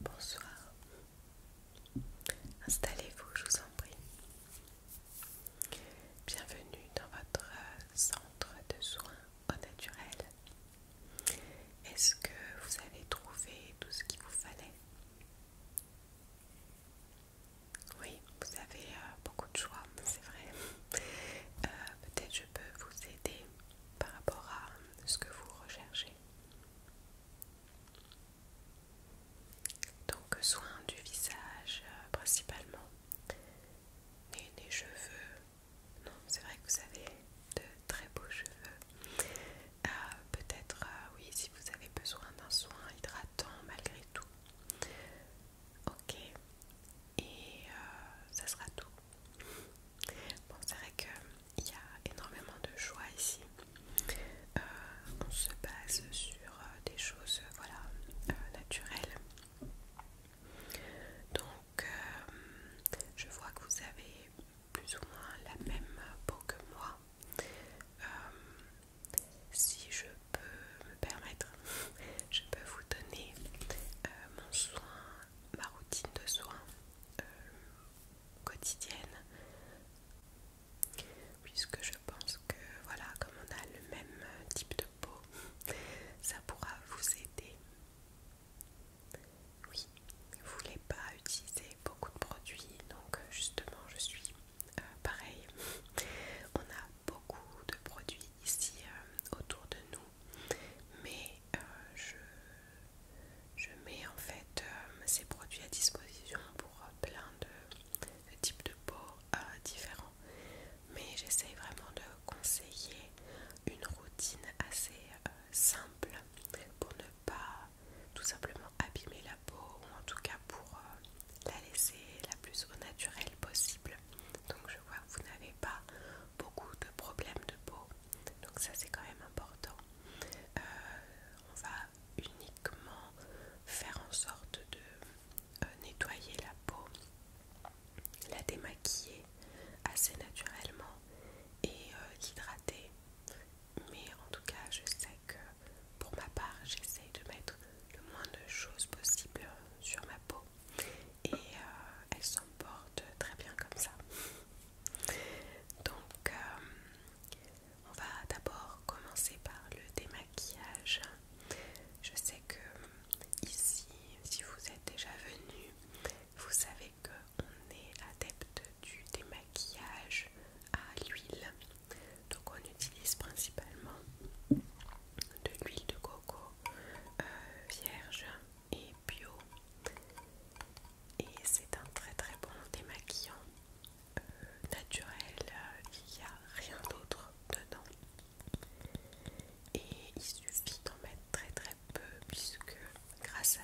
Bonsoir. Installez-vous, je vous en prie. Bienvenue dans votre centre de soins au naturel. Est-ce que vous avez trouvé tout ce qu'il vous fallait oui, vous avez euh, beaucoup de choix, c'est vrai. Euh, peut-être je peux vous aider par rapport à ce que vous recherchez. Donc soin du visage euh, principalement et des cheveux. Non, c'est vrai que vous avez de très beaux cheveux. Peut-être, oui, si vous avez besoin d'un soin hydratant malgré tout. Ok, et euh, ça sera tout. Bon, c'est vrai qu'il y a énormément de choix ici. Euh, on se base sur euh, des choses voilà, naturelles. Donc, je vois que vous avez plus ou moins la même peau que moi si je peux me permettre, je peux vous donner euh, mon soin, ma routine de soins euh, quotidienne, puisque je pense que voilà, comme on a le même euh, type de peau, ça pourra vous aider. Oui, vous voulez pas utiliser beaucoup de produits, donc justement, je suis euh, pareil. On a beaucoup de produits ici euh, autour de nous, mais euh, je, je mets en fait ces produits à disposition pour plein de, types de peau différents. Mais j'essaye vraiment de conseiller une routine assez simple pour ne pas tout simplement abîmer la peau ou en tout cas pour la laisser la plus au naturel possible. Donc je vois que vous n'avez pas beaucoup de problèmes de peau. Donc ça c'est quand même important. Euh, on va uniquement faire en sorte de euh, nettoyer la peau, la démaquiller assez naturellement et euh, hydrater Mais en tout cas je sais que pour ma part, j'essaye de mettre le moins de choses possible sur ma peau et euh, elle s'emporte très bien comme ça. Donc, euh, on va d'abord commencer par le démaquillage. Je sais que ici, si vous êtes déjà venu, vous savez qu'on est adepte du démaquillage à l'huile donc on utilise principalement de l'huile de coco euh, vierge et bio. Et c'est un très très bon démaquillant euh, naturel, euh, il n'y a rien d'autre dedans. Et il suffit d'en mettre très très peu puisque grâce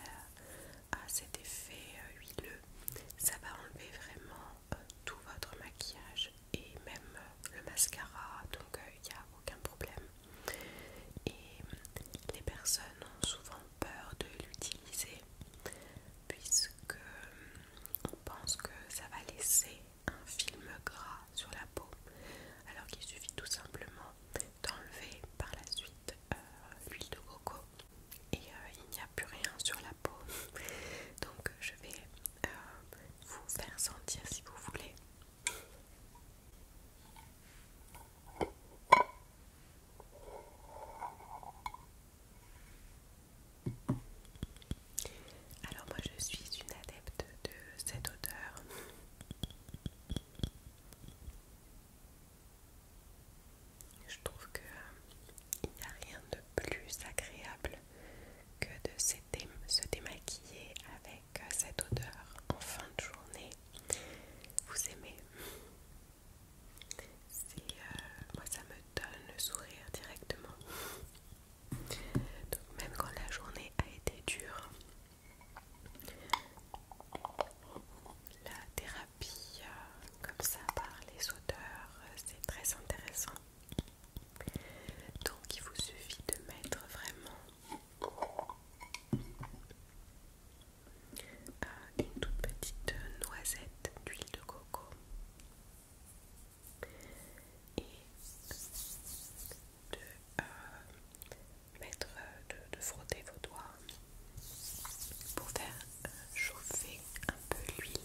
à cet effet huileux, ça va enlever vraiment tout votre maquillage et même euh, le mascara, donc il euh, n'y a aucun problème. Et les personnes ont souvent peur de l'utiliser puisque euh, on pense que ça va laisser un film gras sur la peau, alors qu'il suffit tout simplement d'enlever par la suite l'huile de coco et il n'y a plus rien sur la peau. Donc je vais euh, vous faire sentir si vous voulez. Alors moi je suis une adepte de cette odeur. Je trouve que euh, il n'y a rien de plus agréable que de se, démaquiller avec euh, cette odeur en fin de journée. Vous aimez euh, Moi ça me donne le sourire directement. Donc même quand la journée a été dure, la thérapie euh, comme ça par les odeurs, c'est très intéressant. Donc il vous suffit de mettre vraiment euh, une toute petite euh, noisette d'huile de coco et de, euh, mettre, de, frotter vos doigts pour faire chauffer un peu l'huile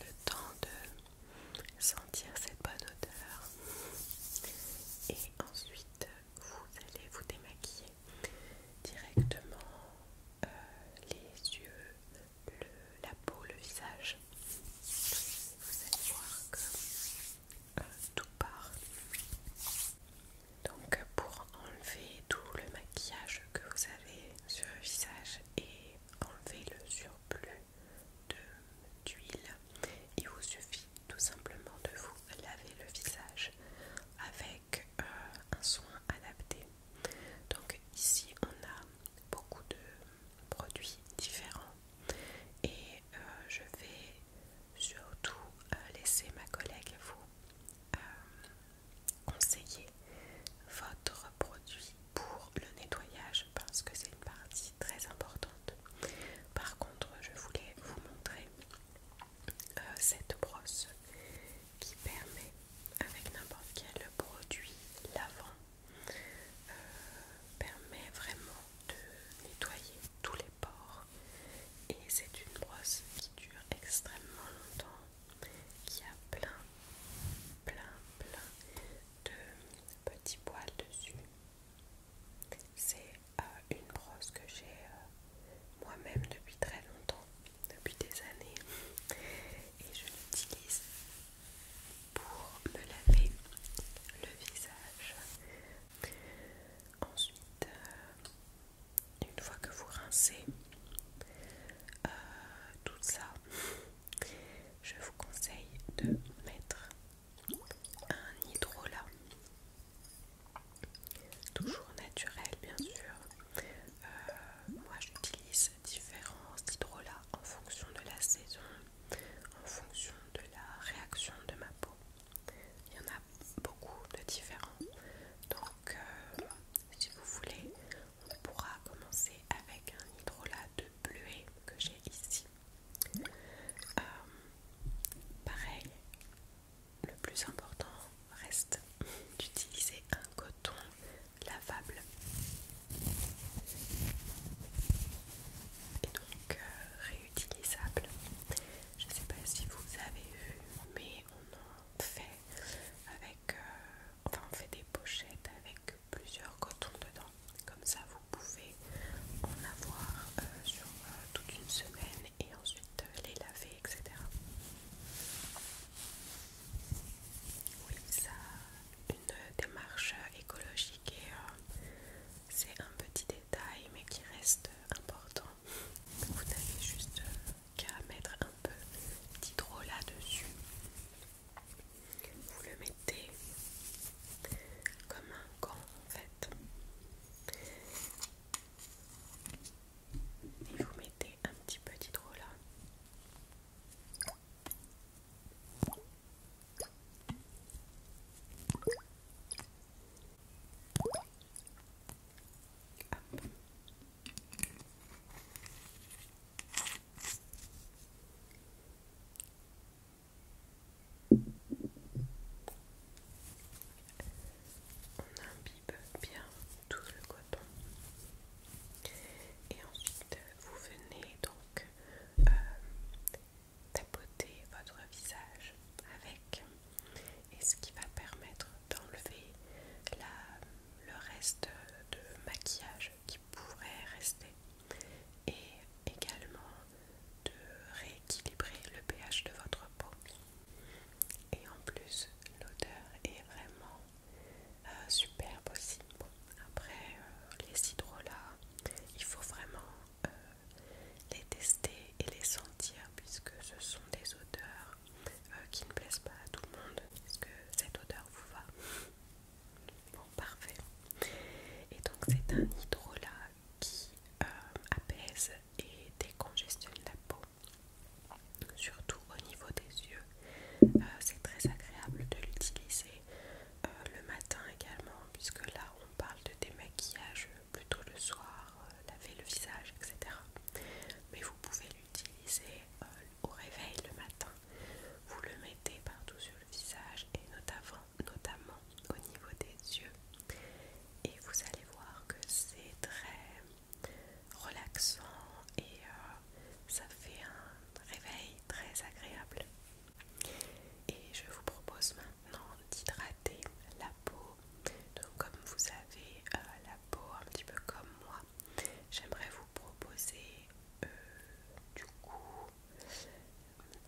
le temps de sentir cette bonne odeur et ensuite vous allez vous démaquiller directement euh, les yeux, la peau, le visage. Vous allez voir que euh, tout part. Donc pour enlever tout le maquillage que vous avez sur le visage et enlever le surplus d'huile, il vous suffit tout simplement de vous laver le visage avec euh, un soin adapté. Donc ici on a beaucoup de produits différents et euh, je vais surtout euh, laisser ma collègue vous euh, conseiller votre produit pour le nettoyage parce que c'est une partie très importante. Par contre, je voulais vous montrer euh, cette brosse qui permet avec n'importe quel produit lavant euh, permet vraiment de nettoyer tous les pores et c'est une brosse qui dure extrêmement longtemps, qui a plein, plein, plein de petits poils dessus. C'est euh, une brosse que j'ai euh, moi-même depuis très longtemps, depuis des années, et je l'utilise pour me laver le visage. Ensuite, euh, une fois que vous rincez euh, tout ça, je vous conseille de mettre un hydrolat, toujours naturel bien sûr. Euh, moi j'utilise différents hydrolats en fonction de la saison, en fonction de la réaction de ma peau. Il y en a beaucoup de différents. Donc, euh, si vous voulez, on pourra commencer avec un hydrolat de bleuet que j'ai ici. Euh, pareil, le plus important reste d'utiliser un coton lavable. Et donc euh, réutilisable. Je ne sais pas si vous avez vu, mais on en fait avec, euh, enfin on fait des pochettes avec plusieurs cotons dedans. Comme ça vous pouvez en avoir euh, sur euh, toute une semaine et ensuite les laver, etc. Oui, ça une démarche écologique et c'est un petit détail mais qui reste important. Vous avez juste à mettre un peu d'hydro là-dessus. Vous le mettez comme un gant en fait. Et vous mettez un petit peu d'hydro là. On imbibe bien tout le coton et ensuite vous venez donc euh, tapoter votre visage avec et ce qui va permettre d'enlever le reste de maquillage qui pourrait rester et également de rééquilibrer le pH de votre peau. Et en plus, l'odeur est vraiment euh, superbe aussi. après, euh, les hydrolats, il faut vraiment euh, les tester et les sentir puisque ce sont des odeurs euh, qui ne plaise pas à tout le monde. puisque que cette odeur vous va Bon, parfait. Et donc, c'est un hydrolat qui euh, apaise et décongestionne la peau, surtout au niveau des yeux. Euh, c'est très agréable de l'utiliser le matin également, puisque là on parle de démaquillage plutôt le soir, euh, laver le visage, etc. Mais vous pouvez l'utiliser euh, au réveil le matin. Vous le mettez partout sur le visage et notamment, notamment au niveau des yeux. Et vous allez voir que c'est très relaxant et euh, ça fait un réveil très agréable. Et je vous propose maintenant d'hydrater la peau donc comme vous avez euh, la peau un petit peu comme moi, j'aimerais vous proposer euh, du coup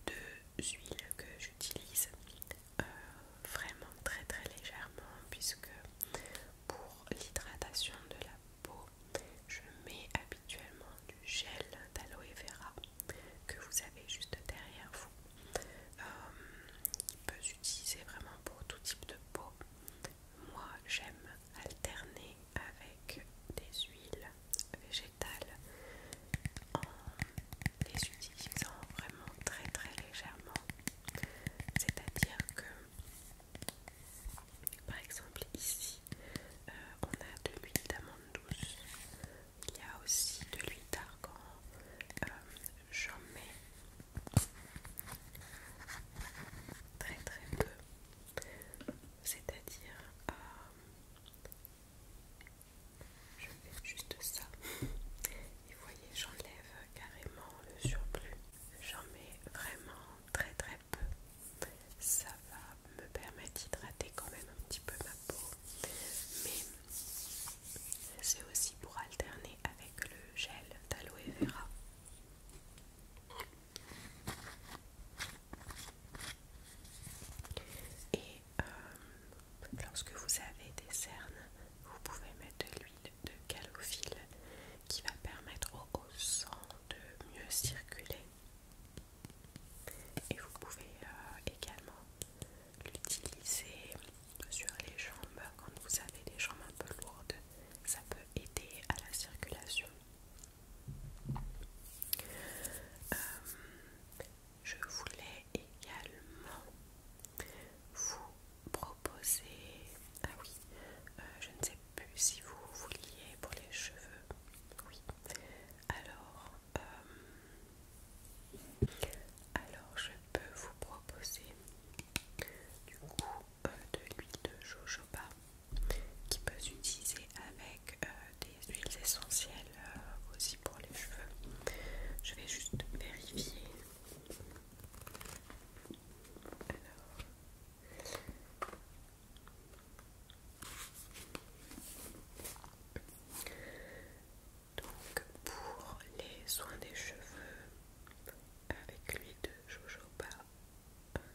deux huiles que j'utilise euh, vraiment très très légèrement puisque pour l'hydratation de la peau, je mets habituellement du gel d'aloe vera que vous avez juste derrière vous il euh, peut s'utiliser vraiment pour tout type de peau. Moi j'aime alterner avec des huiles végétales en les utilisant vraiment très très légèrement. C'est-à-dire que par exemple ici euh, on a de l'huile d'amande douce. Il y a aussi de l'huile d'argan, euh, j'en mets très très peu, c'est-à-dire euh, je fais juste ça et vous voyez j'enlève carrément le surplus, j'en mets vraiment très très peu, ça va me permettre d'hydrater quand même un petit peu ma peau mais c'est aussi pour alterner avec le gel d'aloe vera. Et euh, lorsque vous avez des cernes, vous pouvez mettre de l'huile de calophylle qui va permettre au, sang de mieux circuler. Et vous pouvez euh, également l'utiliser sur les jambes, quand vous avez des jambes un peu lourdes, ça peut aider à la circulation. Euh, je voulais également vous proposer, ah oui, euh, je ne sais plus si vous vouliez pour les cheveux, oui. Alors, euh, alors je peux vous proposer du coup euh, de l'huile de jojoba qui peut s'utiliser avec euh, des huiles essentielles euh, aussi pour les cheveux. Je vais juste vérifier. Alors. Donc pour les soins des cheveux, avec l'huile de jojoba,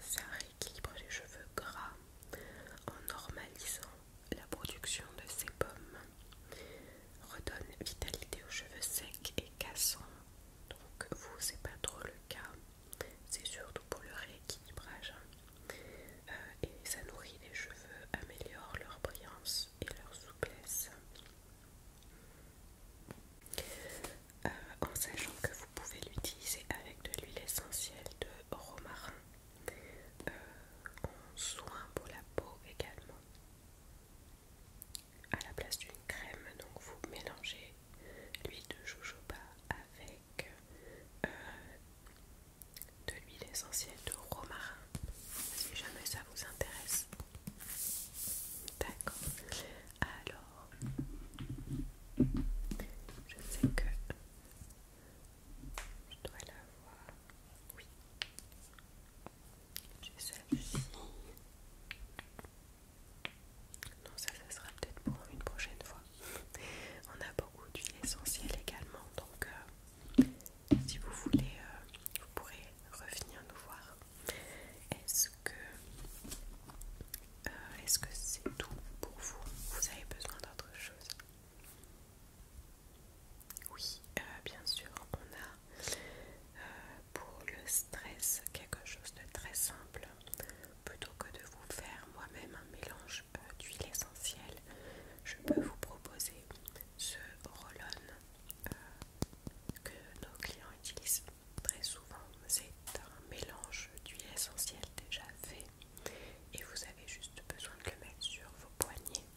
ça rééquilibre les cheveux gras en normalisant la production de sébum, redonne vitalité aux cheveux secs et cassants. Donc vous c'est pas trop le cas, c'est surtout pour le rééquilibrage euh, et ça nourrit les cheveux, améliore leur brillance et leur souplesse. Euh, en sachant que vous pouvez l'utiliser avec de l'huile essentielle de romarin euh, en soin pour la peau également à la place d'une crème donc vous mélangez l'huile de jojoba avec euh, de l'huile essentielle de romarin si jamais ça vous intéresse D'accord. Alors, je sais que je dois la voir. Oui. J'ai celle-ci. Non, ça, ça sera peut-être pour une prochaine fois. On a beaucoup d'huile essentielle également, donc euh, si vous voulez, euh, vous pourrez revenir nous voir. Est-ce que euh, est-ce que c'est tout pour vous Vous avez besoin d'autre chose Oui, euh, bien sûr, on a euh, pour le stress quelque chose de très simple. Plutôt que de vous faire moi-même un mélange d'huile essentielle, je peux vous proposer ce roll que nos clients utilisent très souvent, c'est un mélange d'huile essentielle déjà fait et vous avez juste besoin de le mettre sur vos poignets.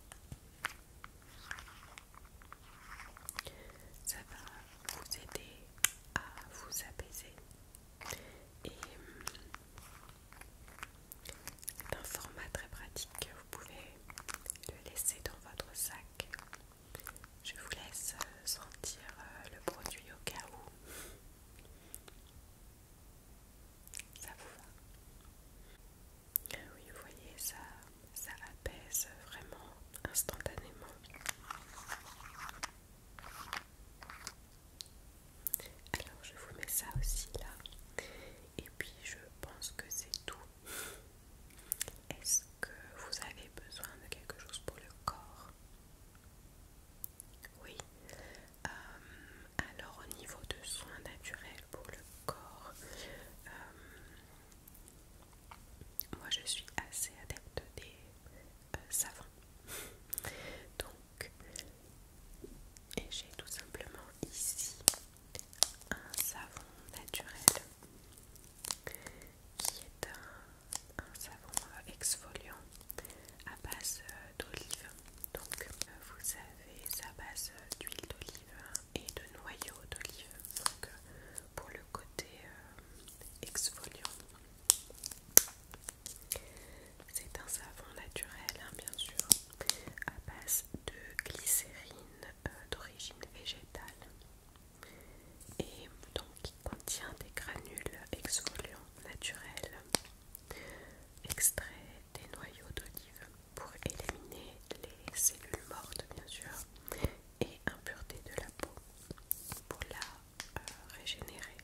Ça va vous aider à vous apaiser et hum, c'est un format très pratique que vous pouvez le laisser dans votre sac je vous laisse euh, sentir euh, le produit au cas où. Ça vous va Oui, vous voyez, ça, ça apaise vraiment instantanément. Alors je vous mets ça aussi là. Et puis je pense que c'est tout. Est-ce que vous avez besoin de quelque chose pour le corps Oui. Euh, alors au niveau de soins naturels pour le corps, euh, moi je suis assez adepte des euh, savons. Donc, j'ai tout simplement ici un savon naturel qui est un, savon euh, exfoliant à base euh, d'olive. Donc euh, vous avez sa base d'huile d'olive hein, et de noyau d'olive. Donc pour le côté exfoliant. C'est un savon naturel, hein, bien sûr, à base de glycérine d'origine végétale et donc qui contient des granules exfoliants naturels extraits des noyaux d'olive pour éliminer les cellules mortes bien sûr et impureté de la peau pour la euh, régénérer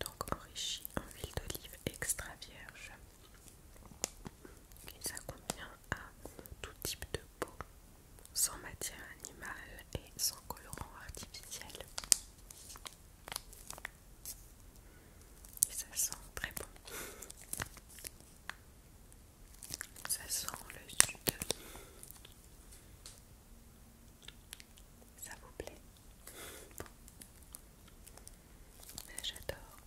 donc enrichi en huile d'olive extra vierge qui ça convient à tout type de peau sans matière animale et sans colorant artificiel. Et ça sent très bon. Ça sent le sud. Ça vous plaît J'adore.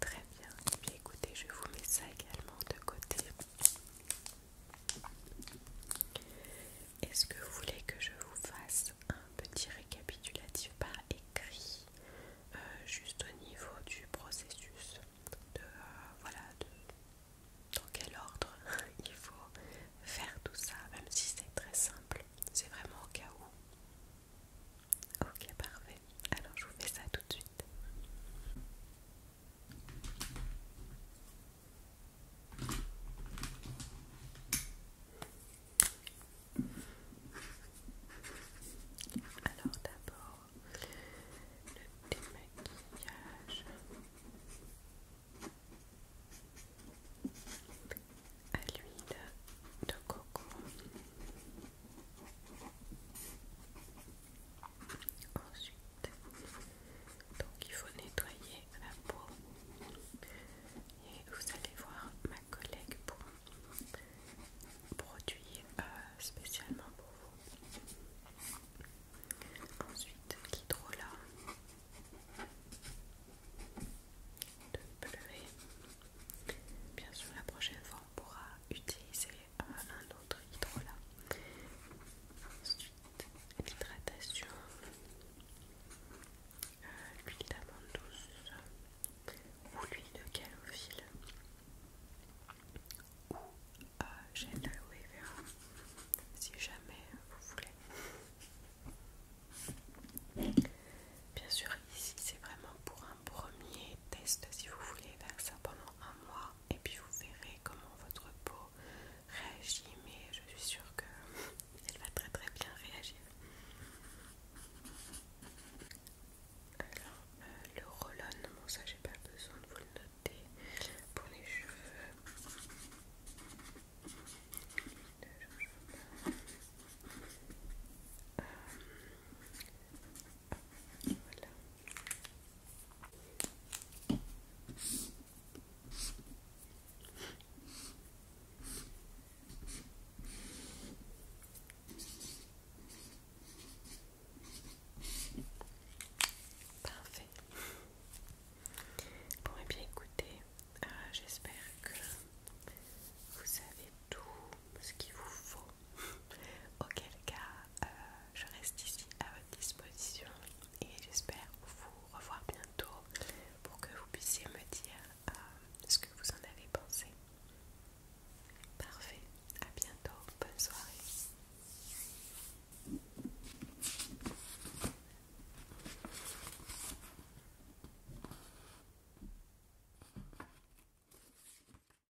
Très bien. Et puis écoutez, je vous mets ça également de côté. Est-ce que vous voulez que je vous fasse un petit récapitulatif par écrit, euh, juste au niveau du processus de euh, voilà dans quel ordre il faut faire tout ça, même si c'est très simple, c'est vraiment au cas où. Ok, parfait. Alors je vous fais ça tout de suite. Alors d'abord le démaquillage. À l'huile de coco. Ensuite, donc il faut nettoyer la peau et vous allez voir ma collègue pour produit euh, spécialement pour vous. Ensuite, l'hydrolat de bleuet. Bien sûr, la prochaine fois, pourra utiliser un autre hydrolat. Ensuite, l'hydratation, euh, l'huile d'amande douce ou l'huile de calophylle ou euh, gel de e si jamais vous voulez. Bien sûr, ici c'est vraiment pour un premier test si vous voulez faire ça pendant un mois et puis vous verrez comment votre peau réagit mais je suis sûre que elle va très très bien réagir alors euh, le roll bon ça j'ai pas besoin de vous le noter pour les cheveux euh, voilà. Parfait. Bon, et eh bien écoutez, euh, j'espère que vous avez tout ce qu'il vous faut. Auquel cas, euh, je reste ici à votre disposition et j'espère vous revoir bientôt pour que vous puissiez me dire euh, ce que vous en avez pensé. Parfait, à bientôt, bonne soirée.